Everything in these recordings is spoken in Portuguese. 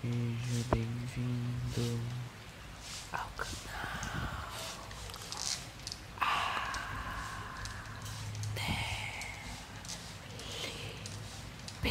Seja bem-vindo ao canal A ADP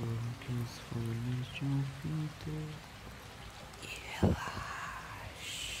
Coloque os fones de ouvido e relaxe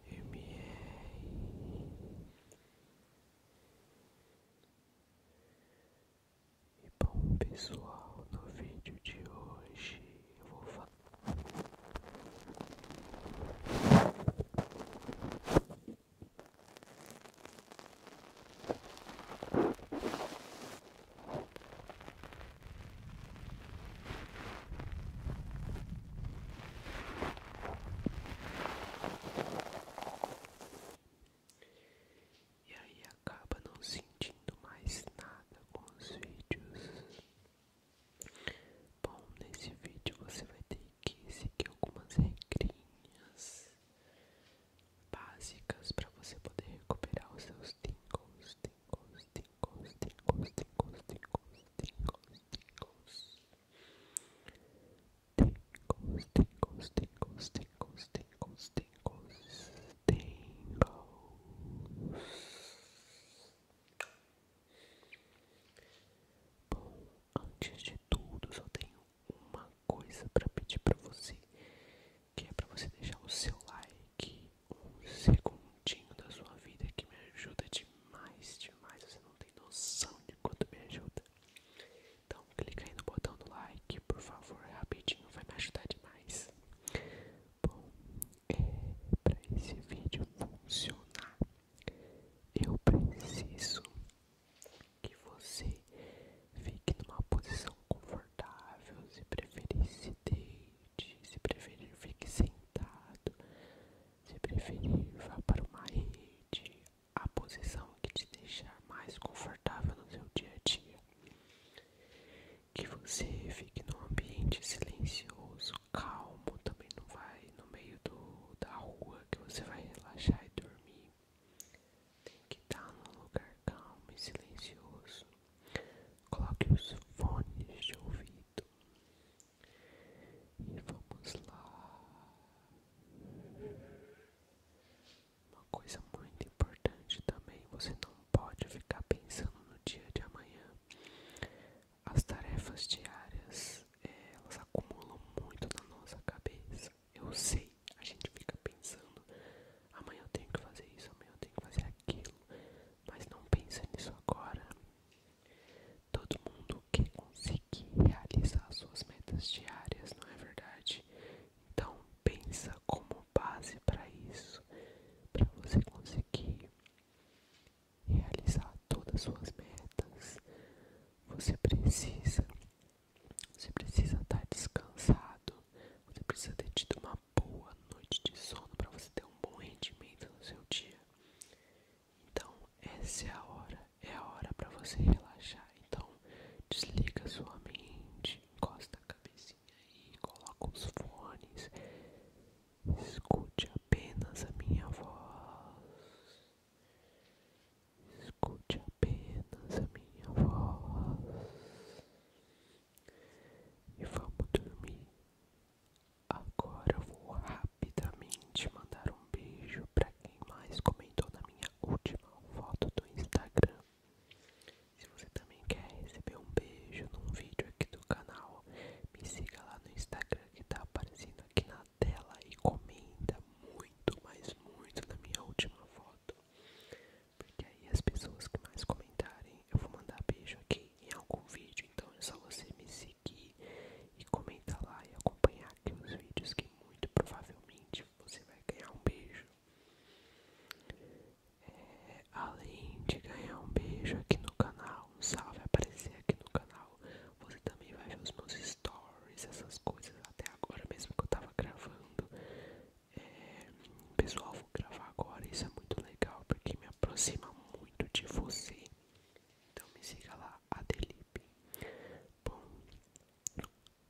E bom pessoal, no vídeo de hoje vou falar e aí acaba não sentindo mais nada com os vídeos. Bom, nesse vídeo você vai ter que seguir algumas regrinhas básicas para você poder recuperar os seus tingles, tingles, tingles, tingles, tingles, tingles, tingles, tingles, tingles, tingles, tingles, tingles, tingles, tingles, tingles. Bom, antes de tudo, só tenho uma coisa para pedir para você, que é para você deixar o seu like, um segundinho da sua vida que me ajuda demais demais, demais. Você não tem noção de quanto me ajuda. Então clica aí no botão do like, por favor, rapidinho, vai me ajudar demais. Bom, é, para esse vídeo funcionar, eu preciso que você fique numa posição confortável, se preferir se deite, se preferir fique sentado, se preferir, vá para uma rede, a posição que te deixar mais confortável no seu dia a dia. Que você fique num ambiente silencioso, calmo, também não vai no meio do, da rua que você vai relaxar e dormir. Tem que estar num lugar calmo e silencioso. Coloque os fones de ouvido. E vamos lá. Uma coisa muito importante também, você não pode ficar pensando no dia de amanhã. As tarefas diárias, elas acumulam muito na nossa cabeça. Eu sei, a gente fica pensando, amanhã eu tenho que fazer isso, amanhã eu tenho que fazer aquilo, mas não pense nisso agora. Todo mundo quer conseguir realizar suas metas diárias, não é verdade? Então pensa como base para isso, para você conseguir realizar todas as suas metas. Você precisa, você precisa estar tá descansado, você precisa ter tido uma boa noite de sono para você ter um bom rendimento no seu dia. Então essa é a hora, é a hora para você relaxar. Então desliga sua mente, encosta a cabecinha aí, coloca os fones, escute apenas a minha voz, escute apenas a minha voz e vamos dormir. Agora eu vou rapidamente mandar um beijo para quem mais comentou na minha última foto do Instagram. Se você também quer receber um beijo num vídeo aqui do canal, me siga lá no Instagram que tá aparecendo aqui na tela e comenta muito, mas muito na minha última foto. Porque aí as pessoas que mais comentarem, eu vou mandar beijo aqui em algum vídeo, então é só você me seguir e comentar lá e acompanhar aqui os vídeos que muito provavelmente você vai ganhar um beijo. É, além de ganhar um beijo aqui no canal, um salve aparecer aqui no canal, você também vai ver os meus stories, essas coisas até agora mesmo que eu tava gravando. É, pessoal, vou gravar agora, isso é muito legal porque me aproxima muito de você. Então me siga lá, Adelipe. Bom,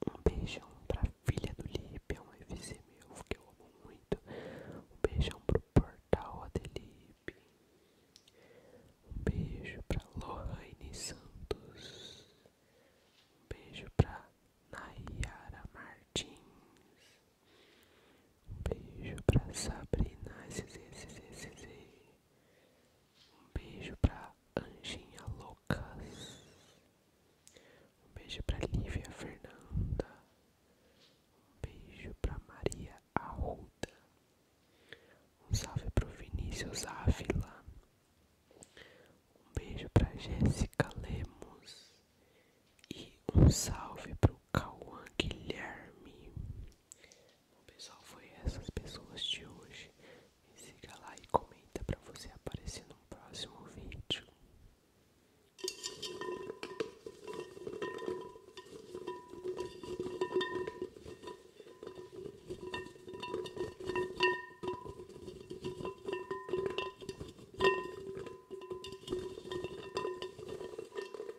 um beijão pra filha do Lipe, é um FC meu que eu amo muito. Um beijão pro portal Adelipe. Um beijo pra Lohane Santos. Um beijo pra Nayara Martins. Um beijo pra Sabrina SZZZZ. Um beijo pra Anjinha Lucas. Um beijo pra Lívia Fernanda. Um beijo pra Maria Arruda. Um salve pro Vinícius Ávila. Um beijo pra Jéssica Lemos. E um salve pro Cauã Guilherme pessoal, foi essas pessoas de hoje. Me siga lá e comenta para você aparecer no próximo vídeo.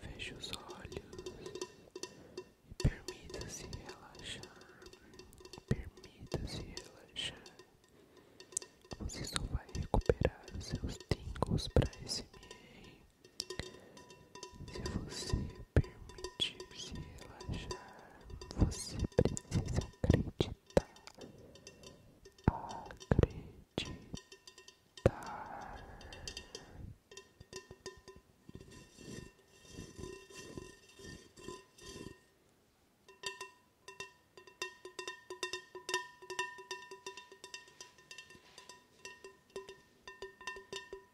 Feche os olhos e permita-se relaxar. Permita-se relaxar. Você só vai recuperar os seus tingos para esse meio se você permitir se relaxar, você precisa acreditar. Acreditar.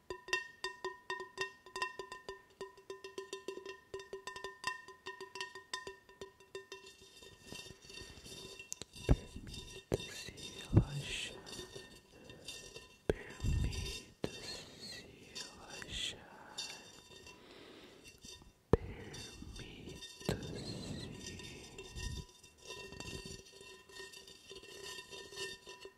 Permita-se relaxar, permita-se relaxar, permita-se. Sons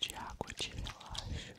de água te relaxam.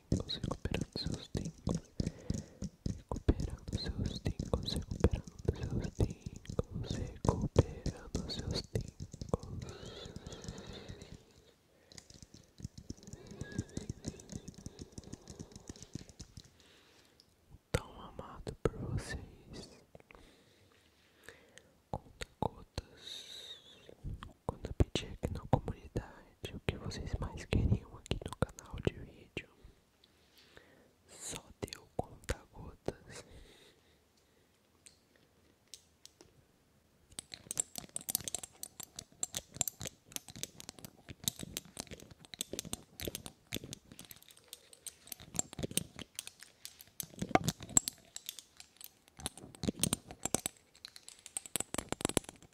tímpanos, recuperando seus tímpanos, recuperando seus tímpanos, recuperando seus tímpanos, recuperando seus tímpanos. Tão amado por vocês. Conta cotas Quando eu pedi aqui na comunidade de o que vocês mais queriam aqui no canal de vídeo. Só deu conta gotas.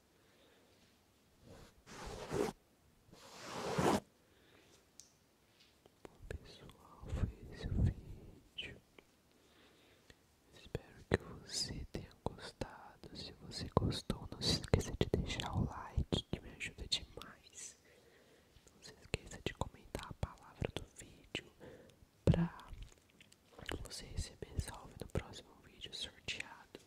Bom pessoal, foi esse o vídeo. Espero que você tenha gostado. Se você gostou, não se esqueça de deixar o like que me ajuda demais. Não se esqueça de comentar a palavra do vídeo para você receber salve no próximo vídeo sorteado.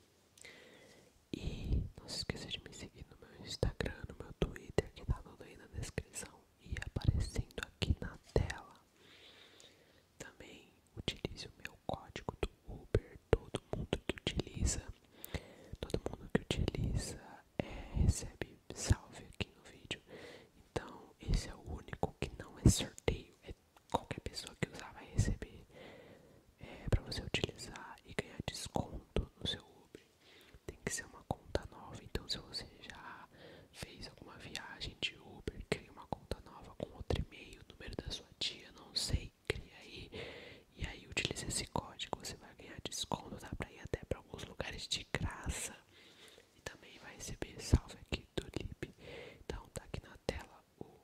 E não se esqueça de me seguir no meu Instagram, no meu Twitter, que tá tudo aí na descrição e aparecendo aqui na tela. Também utilize o meu código do Uber, todo mundo que utiliza, todo mundo que utiliza é, recebe salve aqui no vídeo. Então esse é o único que não é sorteio, é qualquer pessoa que usar vai receber é, para você utilizar e ganhar desconto no seu Uber. Tem que ser uma conta nova. Então, se você já fez alguma viagem de Uber, crie uma conta nova com outro e-mail, número da sua tia, não sei, crie aí. E aí, utilize esse código, você vai ganhar desconto, dá para ir até para alguns lugares de graça. E também vai receber salve aqui do Lib. Então, tá aqui na tela o